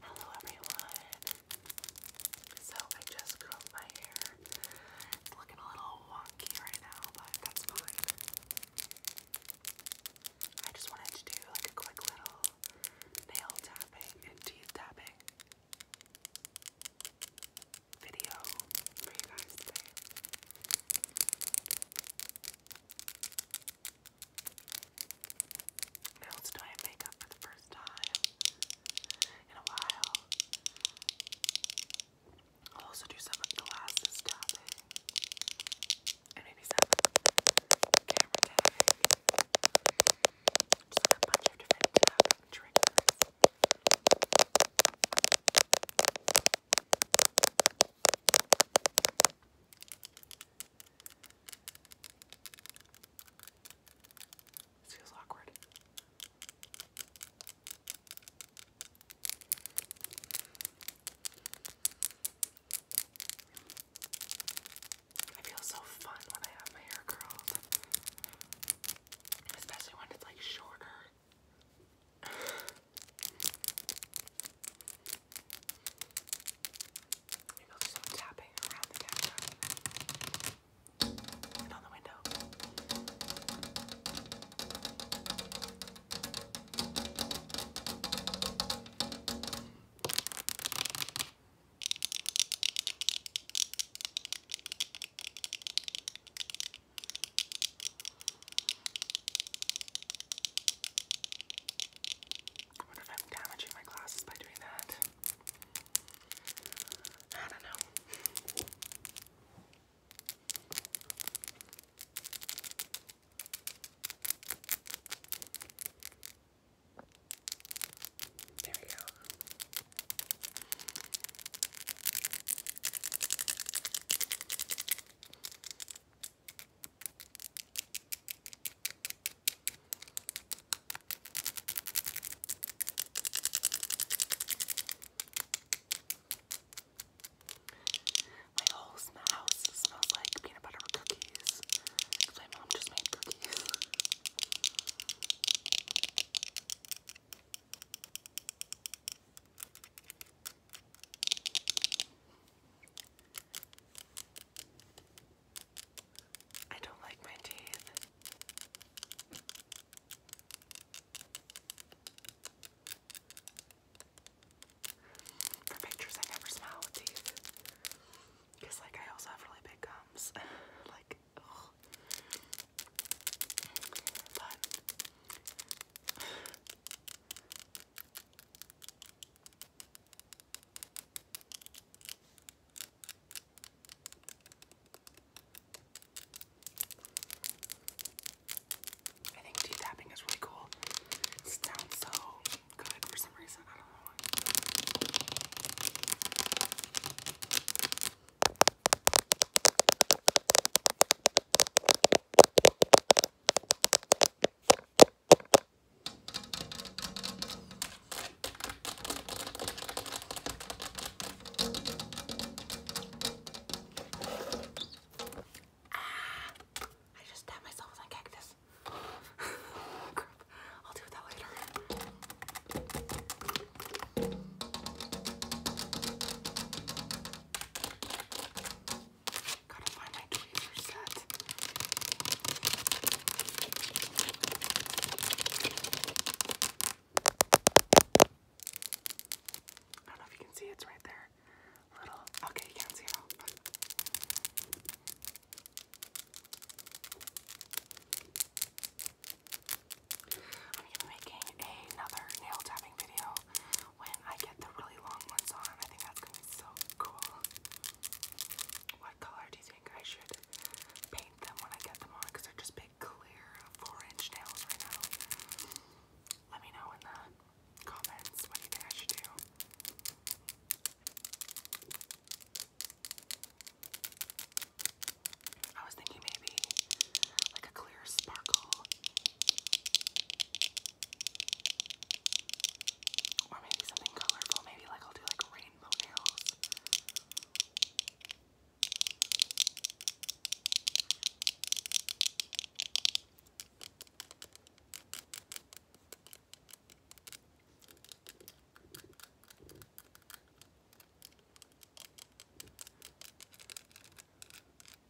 Hello everyone. So I just curled my hair. It's looking a little wonky right now, but that's fine. I just wanted to do like a quick little nail tapping and teeth tapping video for you guys now it's doing makeup for the first time in a while. I'll also do some glasses tapping. And maybe some camera tapping. Just a bunch of different tapping triggers. This feels awkward. I feel so fun when I have my hair curled. Especially when it's like shorter. You know, there's some tapping around the camera and on the window. All I wonder if I'm damaging my glasses by doing that. I don't know. There we go. My whole house smells like peanut butter cookies my mom just made cookies. I don't like my teeth. For pictures, I never smile with teeth. Because, like, I also have really big gums. like, ugh. But. I think tea tapping is really cool. It sounds so good for some reason. I don't know why. Ah, I just stabbed myself with my cactus. Crap. I'll do that later. I don't know if you can see it's right there. Little okay, you can see it I'm gonna be making another nail tapping video when I get the really long ones on. I think that's gonna be so cool. What color do you think I should paint them when I get them on? they're just big, clear, four-inch nails right now. Let me know in the comments what you think I should do. I was thinking maybe like a clear sparkle or maybe something colorful. Maybe like I'll do like rainbow nails.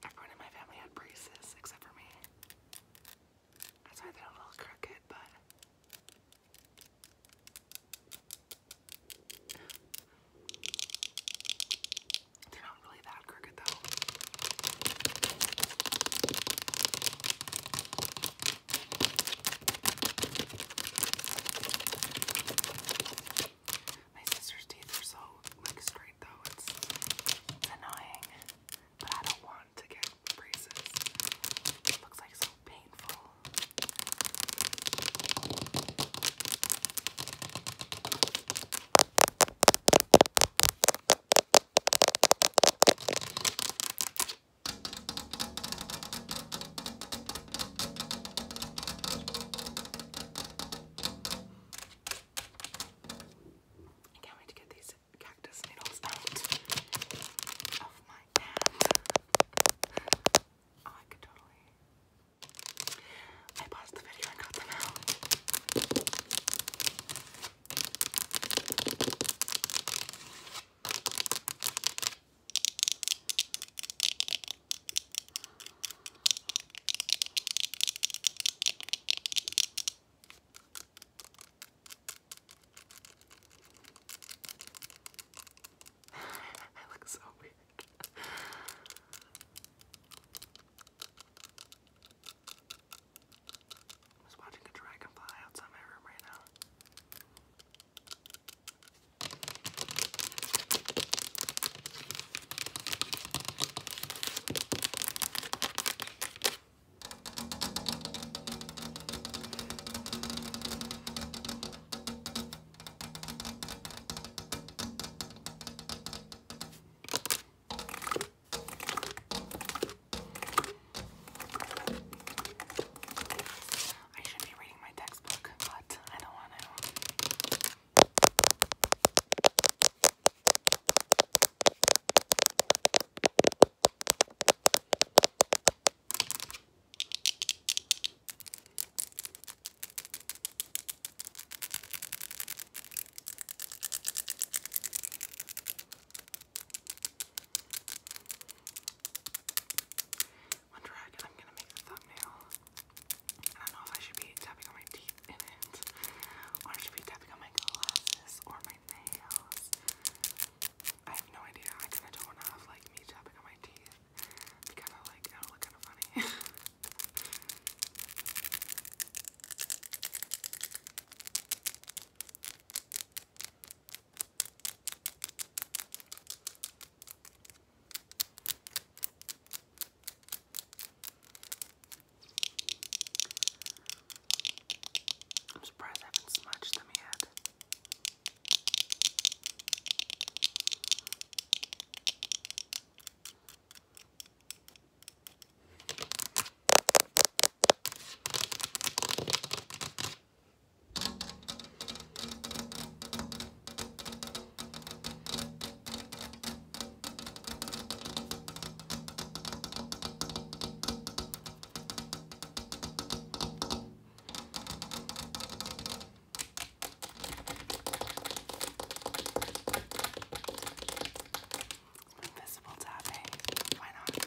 Everyone in my family had braces except for me. That's why they're a little crooked, but. They're not really that crooked though. My sister's teeth are so like straight right though. annoying, but I don't want to get braces. It looks like so painful. I can't wait to get these cactus needles out of my hand. I could totally. I paused the video and got them out. I look so weird. I'm just watching a dragonfly outside my room right now. I should be reading my textbook, but I don't want to. Wonder I'm gonna make a thumbnail. I don't know if I should be tapping on my teeth in it, or I should be tapping on my glasses or my nails. I have no idea. I kind of don't want to have like me tapping on my teeth. It'd kind of like it'll oh, look kind of funny. I'm surprised I haven't smudged them yet. Invisible tapping. Why not?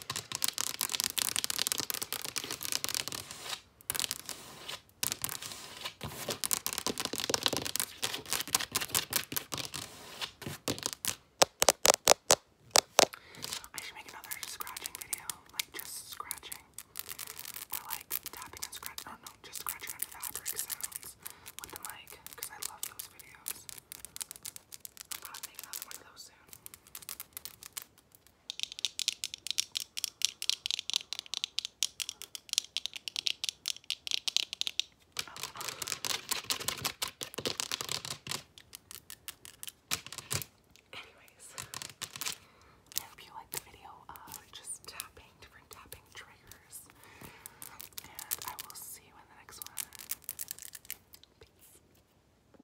I should make another scratching video, like just scratching, or like tapping and scratching. Oh no, just scratching on fabric sounds with the mic, because I love those videos. I'm gonna make another one of those soon. Anyways, I hope you liked the video of just tapping, different tapping triggers. And I will see you in the next one. Peace.